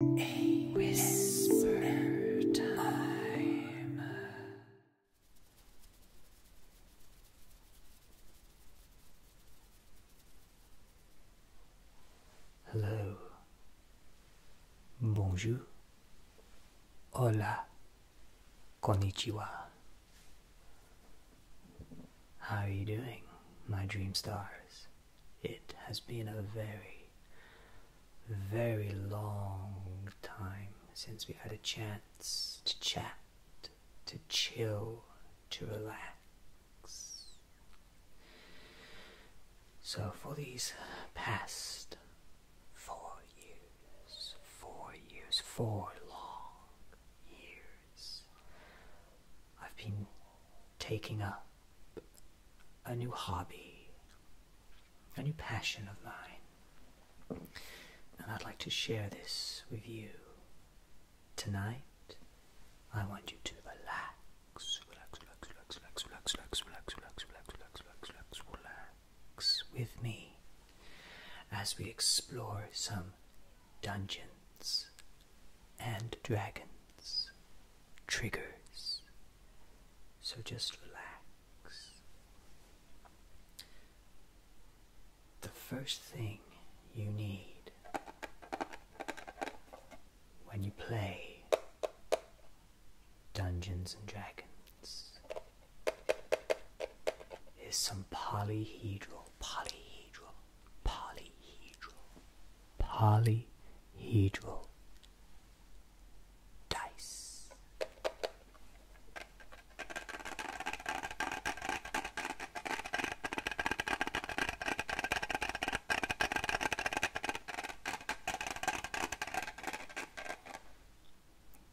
A whisper time. Hello. Bonjour. Hola. Konnichiwa. How are you doing, my dream stars? It has been a very, very long time since we've had a chance to chat, to chill, to relax. So, for these past four years, four years, four long years, I've been taking up a new hobby, a new passion of mine. And I'd like to share this with you. Tonight, I want you to relax, relax, relax, relax, relax, relax, relax, relax, relax, relax, relax, relax, relax, relax with me as we explore some dungeons and dragons, triggers, so just relax. The first thing you need when you play Dungeons and Dragons is some polyhedral, polyhedral, polyhedral, polyhedral dice.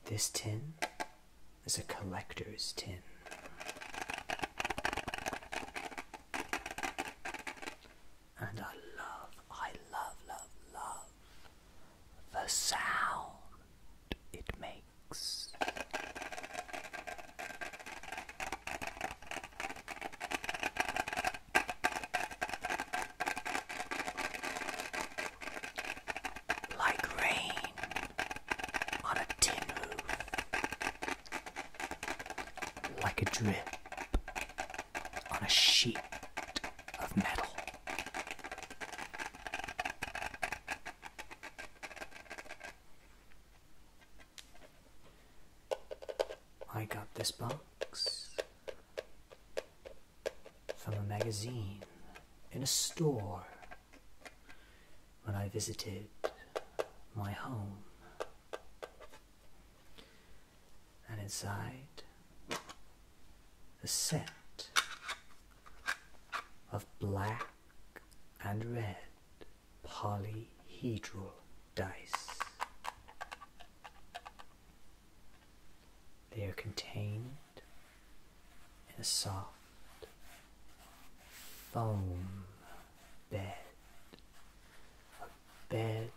This tin is a collector's tin and I love, I love, love, love the sound it makes. Like rain on a tin roof, like a drip on a sheet of metal. I got this box from a magazine in a store when I visited my home and inside a set of black and red polyhedral dice. They are contained in a soft foam bed bed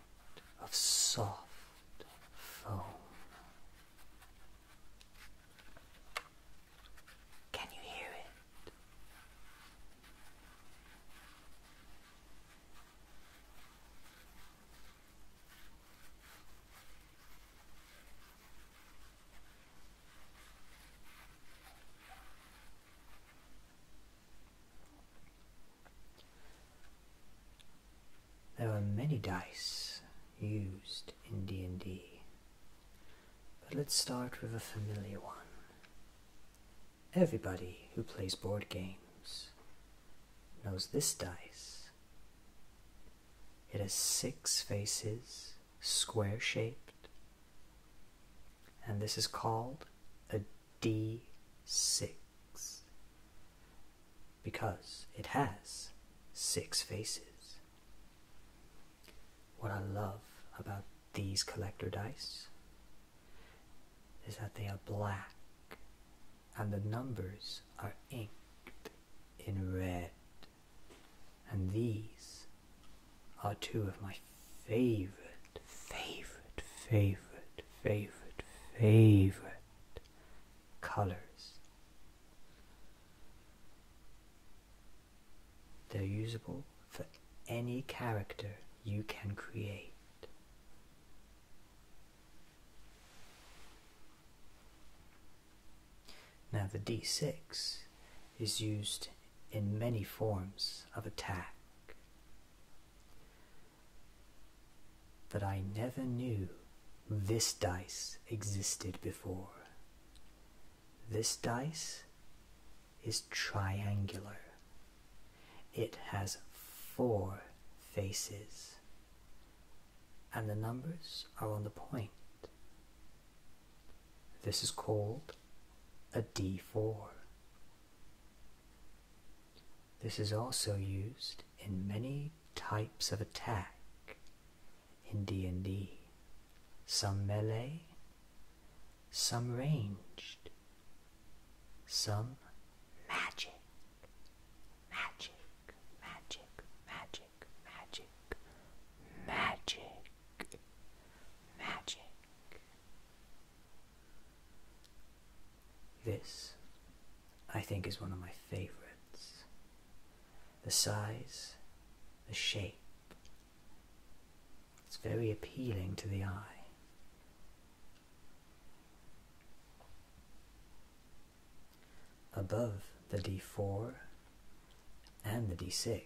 of soft foam. Can you hear it? There are many dice used in D&D, but let's start with a familiar one. Everybody who plays board games knows this dice. It has six faces, square shaped, and this is called a D6 because it has six faces. What I love about these collector dice is that they are black and the numbers are inked in red. And these are two of my favorite, favorite, favorite, favorite, favorite colors. They're usable for any character you can create. Now, the d6 is used in many forms of attack. But I never knew this dice existed before. This dice is triangular. It has four faces, and the numbers are on the point. This is called a d4. This is also used in many types of attack in D&D, some melee, some ranged, some magic, magic, magic, magic, magic, magic, magic. This, I think, is one of my favorites. The size, the shape, it's very appealing to the eye. above the d4 and the d6,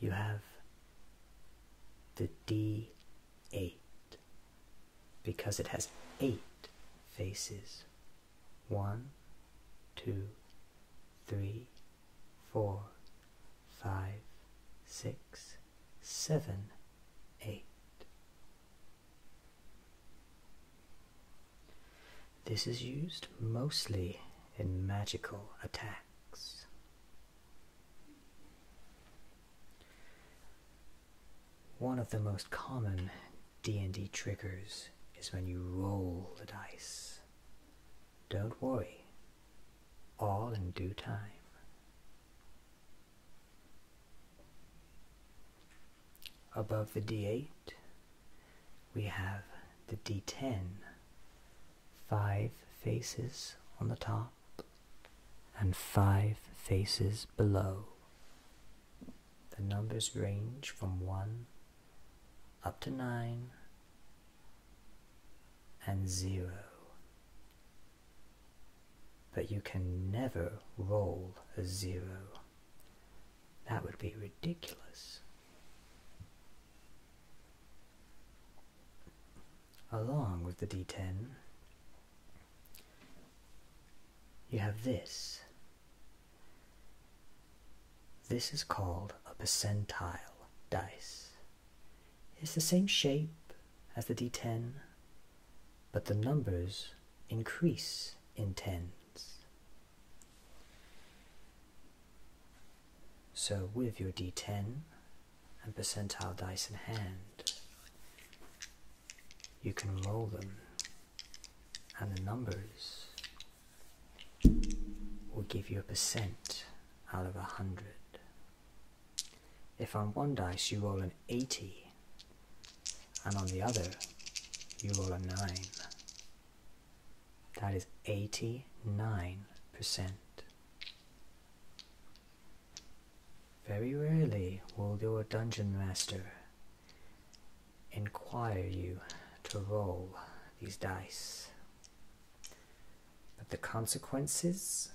you have the d8 because it has eight faces. One, two, three, four, five, six, seven, eight. This is used mostly in magical attacks. One of the most common D&D triggers is when you roll the dice. Don't worry, all in due time. Above the D8, we have the D10. Five faces on the top, and five faces below. The numbers range from 1 up to 9 and 0. But you can never roll a 0. That would be ridiculous. Along with the d10, you have this. This is called a percentile dice. It's the same shape as the d10, but the numbers increase in tens. So with your d10, and percentile dice in hand, you can roll them, and the numbers will give you a percent out of a hundred. If on one dice you roll an 80, and on the other you roll a 9, that is 89%. Very rarely will your dungeon master inquire you to roll these dice, but the consequences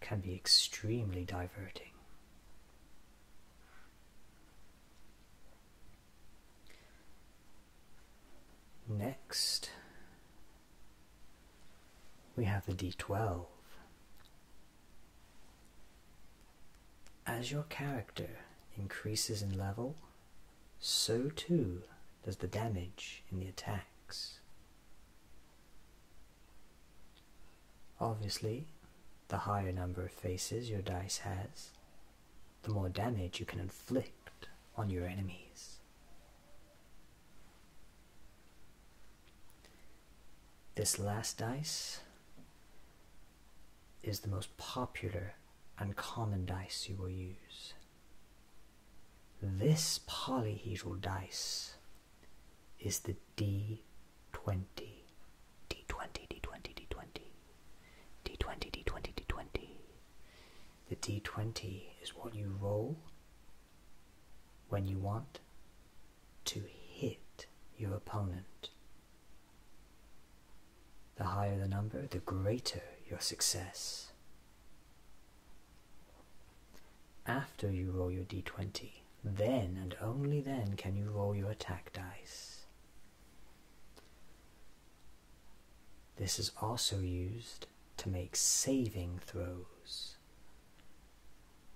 can be extremely diverting. Next, we have the d12. As your character increases in level, so too does the damage in the attacks. Obviously, the higher number of faces your dice has, the more damage you can inflict on your enemies. This last dice is the most popular and common dice you will use. This polyhedral dice is the D20. D20, D20, D20, D20, D20, D20. The D20 is what you roll when you want to hit your opponent. The higher the number, the greater your success. After you roll your d20, then and only then can you roll your attack dice. This is also used to make saving throws.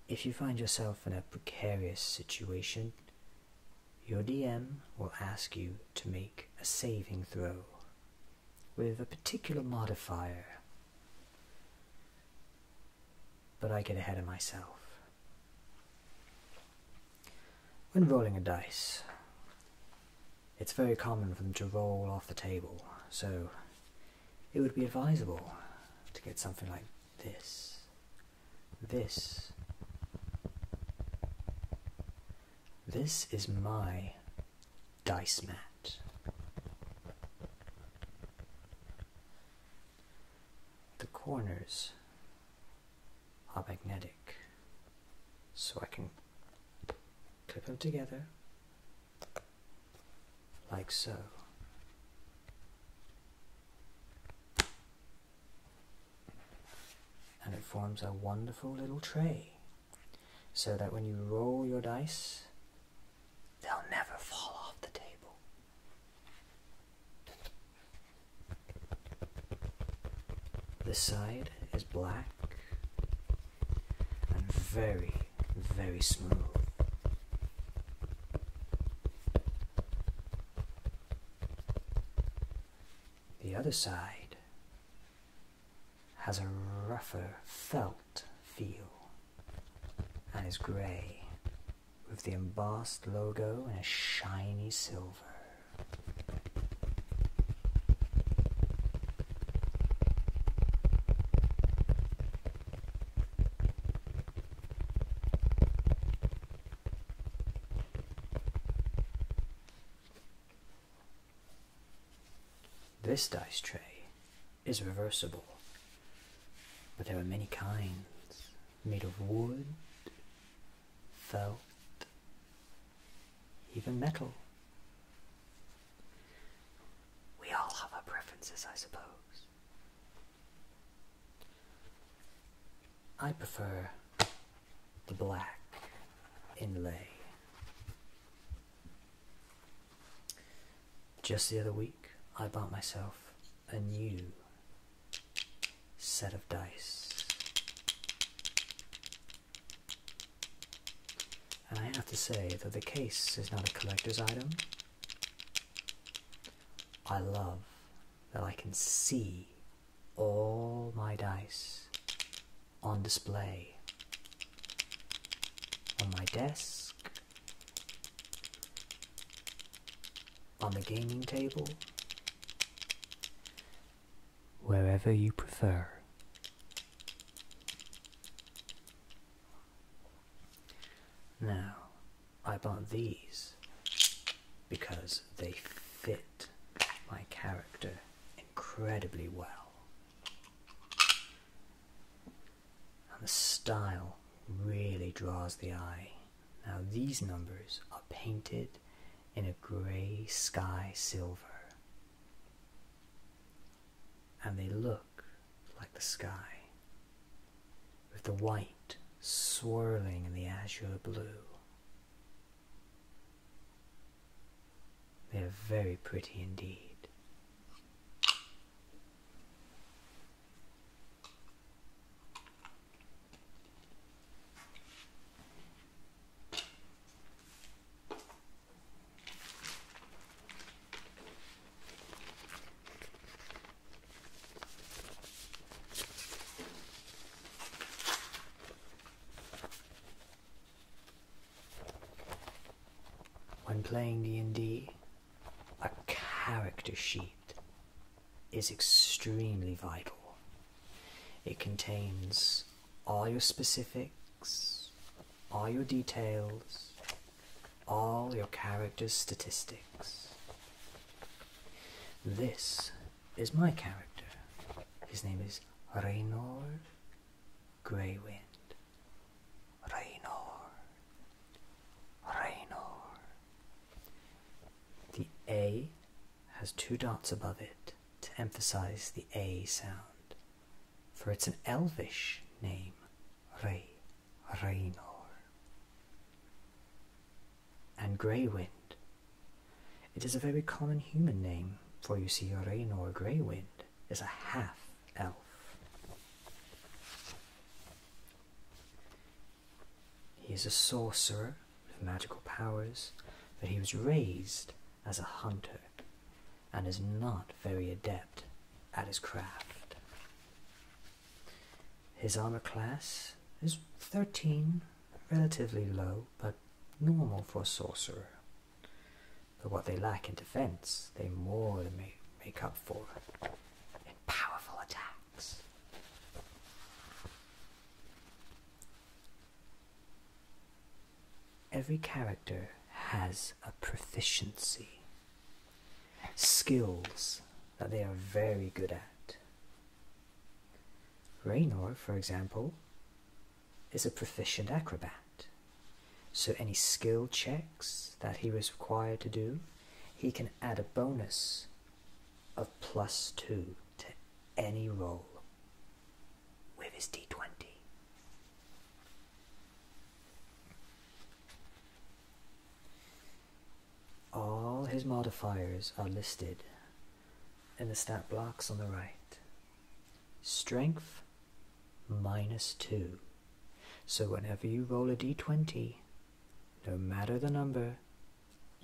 If you find yourself in a precarious situation, your DM will ask you to make a saving throw with a particular modifier. But I get ahead of myself. When rolling a dice, it's very common for them to roll off the table, so it would be advisable to get something like this. This. This is my dice mat. The corners are magnetic, so I can clip them together like so. And it forms a wonderful little tray so that when you roll your dice, they'll never fall off the table. This side is black and very, very smooth. The other side has a rougher felt feel and is grey with the embossed logo in a shiny silver. This dice tray is reversible, but there are many kinds made of wood, felt, even metal. We all have our preferences, I suppose. I prefer the black inlay. Just the other week, I bought myself a new set of dice. And I have to say that the case is not a collector's item, I love that I can see all my dice on display on my desk, on the gaming table, wherever you prefer. Now, I bought these because they fit my character incredibly well. And the style really draws the eye. Now, these numbers are painted in a grey sky silver. And they look like the sky, with the white swirling in the azure blue. They are very pretty indeed. When playing D&D, a character sheet is extremely vital. It contains all your specifics, all your details, all your character's statistics. This is my character. His name is Raynor Graywind. Raynor. Raynor. The A has two dots above it to emphasize the A sound, for it's an elvish name, Ray Raynor, and Grey It is a very common human name, for you see, Raynor Grey is a half elf. He is a sorcerer with magical powers, but he was raised as a hunter and is not very adept at his craft. His armor class is 13, relatively low, but normal for a sorcerer. But what they lack in defense, they more than make, make up for in powerful attacks. Every character has a proficiency, skills that they are very good at. Raynor, for example, is a proficient acrobat. So, any skill checks that he was required to do, he can add a bonus of plus two to any roll with his d20. All his modifiers are listed in the stat blocks on the right. Strength minus 2. So whenever you roll a d20, no matter the number,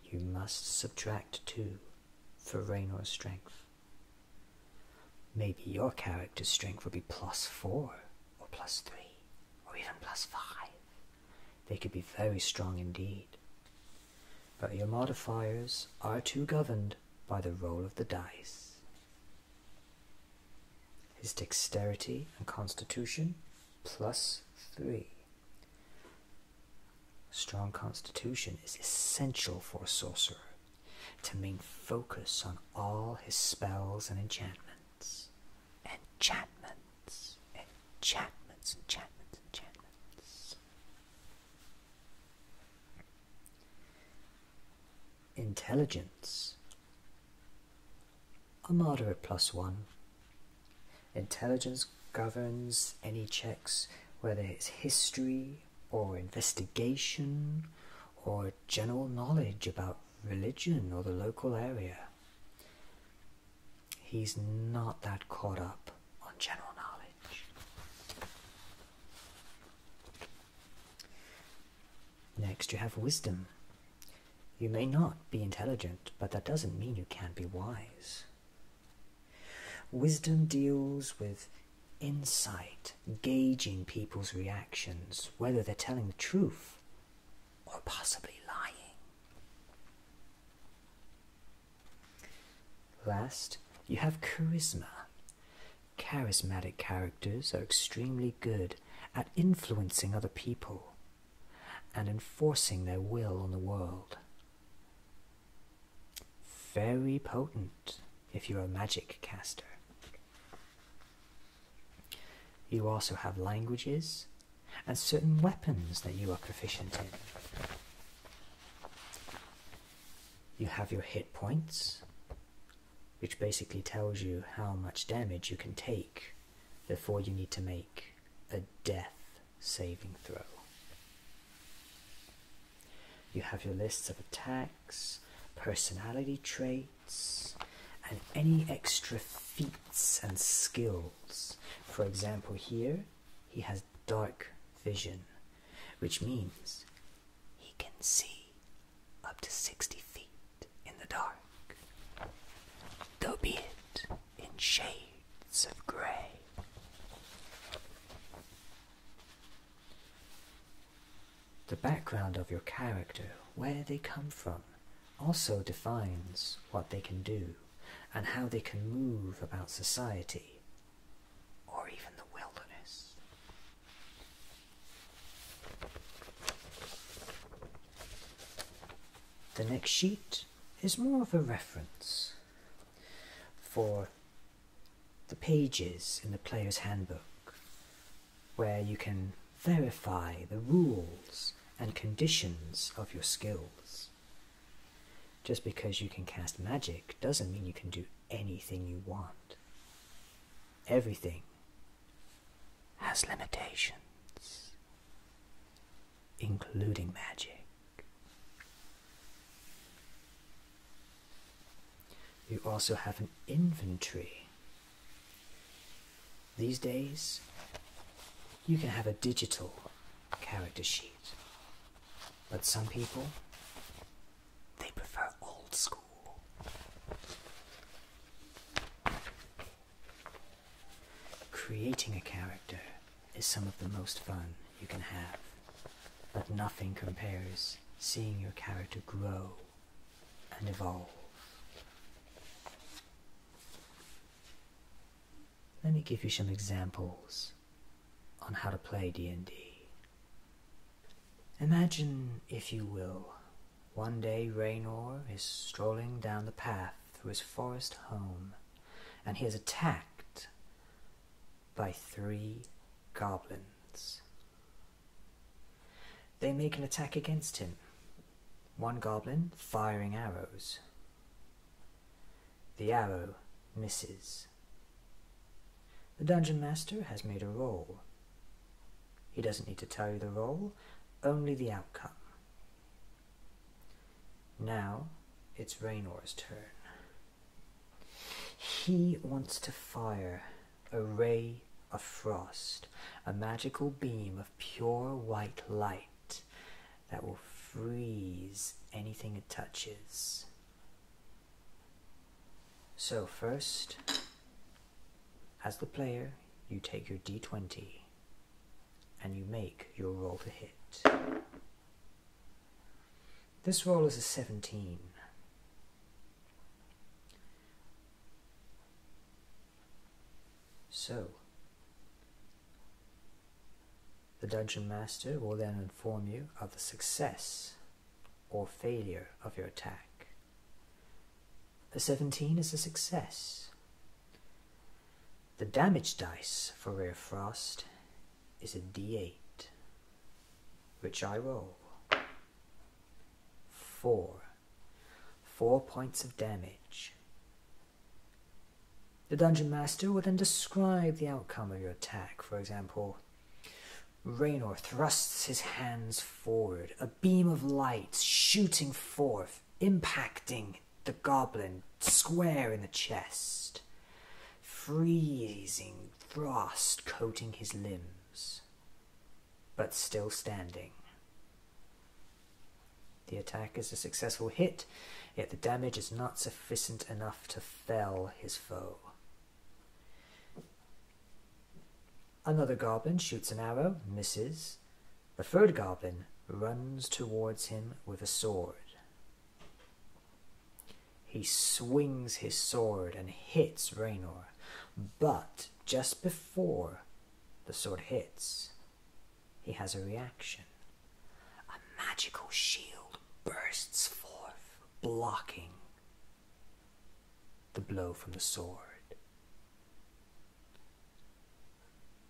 you must subtract 2 for Raynor's strength. Maybe your character's strength will be plus 4 or plus three, or even plus five, they could be very strong indeed. But your modifiers are too governed by the roll of the dice. His dexterity and constitution, plus three. strong constitution is essential for a sorcerer to maintain focus on all his spells and enchantments enchantments, enchantments, enchantments, enchantments. Intelligence. A moderate plus one. Intelligence governs any checks, whether it's history or investigation or general knowledge about religion or the local area. He's not that caught up on general knowledge. Next, you have wisdom. You may not be intelligent, but that doesn't mean you can't be wise. Wisdom deals with insight, gauging people's reactions, whether they're telling the truth or possibly lying. Last, you have charisma. Charismatic characters are extremely good at influencing other people and enforcing their will on the world. Very potent if you're a magic caster. You also have languages and certain weapons that you are proficient in. You have your hit points, which basically tells you how much damage you can take before you need to make a death saving throw. You have your lists of attacks, personality traits and any extra feats and skills. For example, here he has dark vision, which means he can see up to 60 feet in the dark, though be it in shades of grey. The background of your character, where they come from, also defines what they can do and how they can move about society or even the wilderness. The next sheet is more of a reference for the pages in the player's handbook where you can verify the rules and conditions of your skills. Just because you can cast magic doesn't mean you can do anything you want. Everything has limitations, including magic. You also have an inventory. These days, you can have a digital character sheet. But some people, they prefer old school. Creating a character is some of the most fun you can have, but nothing compares seeing your character grow and evolve. Let me give you some examples on how to play D&D. Imagine, if you will, one day Raynor is strolling down the path through his forest home, and he is attacked by three goblins. They make an attack against him, one goblin firing arrows. The arrow misses. The dungeon master has made a roll. He doesn't need to tell you the roll, only the outcome. Now it's Raynor's turn. He wants to fire a ray of frost, a magical beam of pure white light that will freeze anything it touches. So, first, as the player, you take your d20 and you make your roll to hit. This roll is a 17. So, the dungeon master will then inform you of the success or failure of your attack. A 17 is a success. The damage dice for Rare Frost is a d8, which I roll. 4. 4 points of damage, the dungeon master will then describe the outcome of your attack. For example, Raynor thrusts his hands forward, a beam of light shooting forth, impacting the goblin square in the chest, freezing frost coating his limbs, but still standing. The attack is a successful hit, yet the damage is not sufficient enough to fell his foe. Another goblin shoots an arrow, misses. The third goblin runs towards him with a sword. He swings his sword and hits Raynor, but just before the sword hits, he has a reaction. A magical shield bursts forth, blocking the blow from the sword.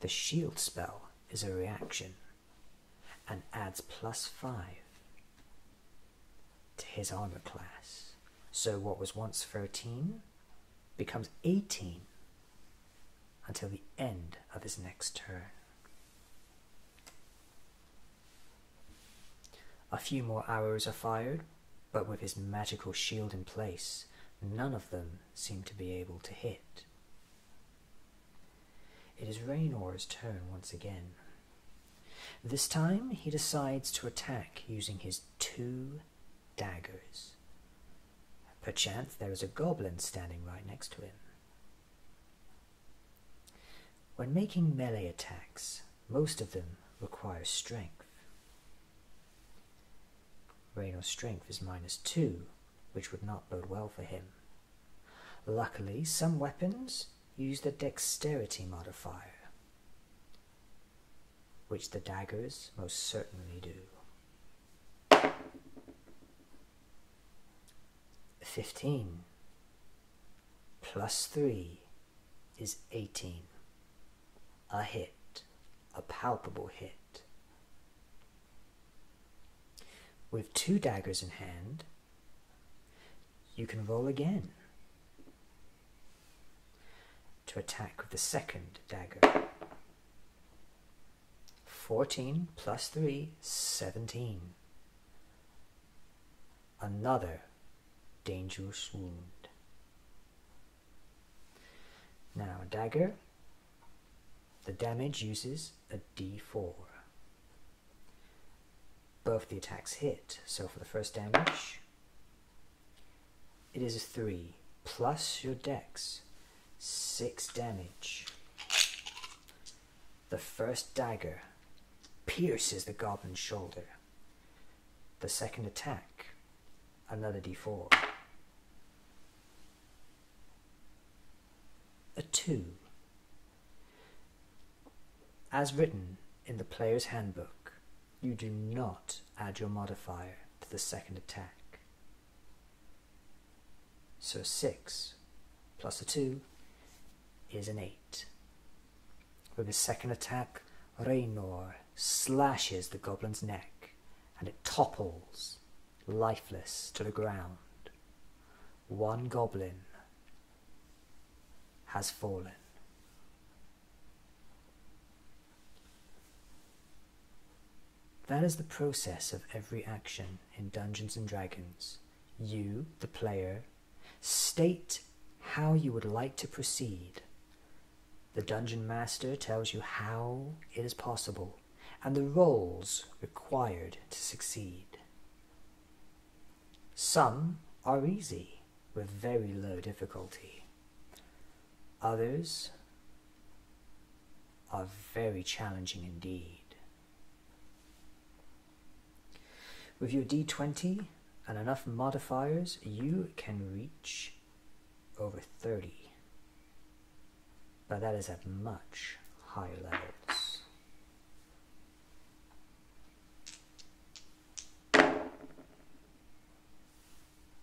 The shield spell is a reaction and adds plus 5 to his armor class. So what was once 13 becomes 18 until the end of his next turn. A few more arrows are fired, but with his magical shield in place, none of them seem to be able to hit. It is Raynor's turn once again. This time he decides to attack using his two daggers. Perchance there is a goblin standing right next to him. When making melee attacks, most of them require strength. Raynor strength is minus two, which would not bode well for him. Luckily, some weapons use the dexterity modifier, which the daggers most certainly do. 15 plus 3 is 18. A hit, a palpable hit. With two daggers in hand, you can roll again to attack with the second dagger. 14 plus 3, 17. Another dangerous wound. Now, dagger, the damage uses a d4. Both the attacks hit, so for the first damage, it is a 3. Plus your dex. 6 damage. The first dagger pierces the goblin's shoulder. The second attack, another d4. A 2. As written in the player's handbook, you do not add your modifier to the second attack. So 6 plus a 2 is an 8. With his second attack, Reynor slashes the goblin's neck and it topples, lifeless, to the ground. One goblin has fallen. That is the process of every action in Dungeons and Dragons. You, the player, state how you would like to proceed. The dungeon master tells you how it is possible and the rolls required to succeed. Some are easy with very low difficulty. Others are very challenging indeed. With your d20 and enough modifiers, you can reach over 30. But that is at much higher levels.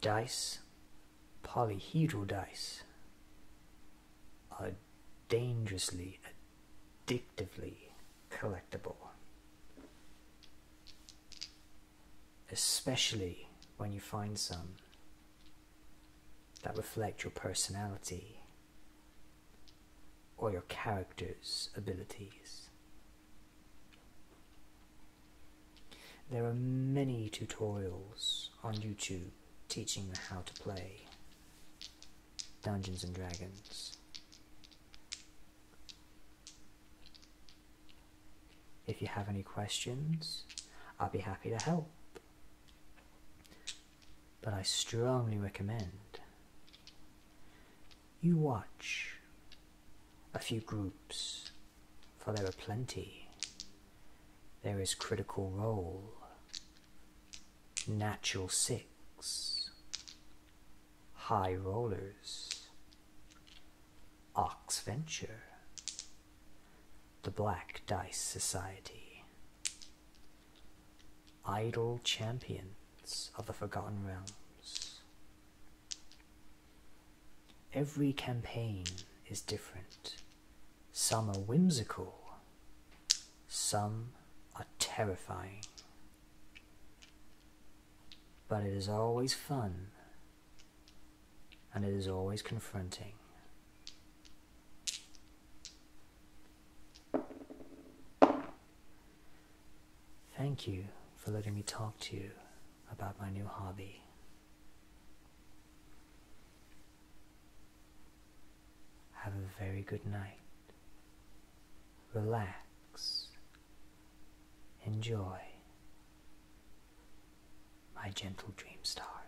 dice, polyhedral dice, are dangerously, addictively collectible especially when you find some that reflect your personality or your character's abilities. There are many tutorials on YouTube teaching how to play Dungeons and Dragons. If you have any questions, I'll be happy to help. But I strongly recommend you watch a few groups, for there are plenty. There is Critical Role, Natural Six, High Rollers, Ox Venture, the Black Dice Society. Idle Champions of the Forgotten Realms. Every campaign is different. Some are whimsical, some are terrifying. But it is always fun and it is always confronting. Thank you for letting me talk to you about my new hobby. Have a very good night. Relax. Enjoy my gentle dream stars.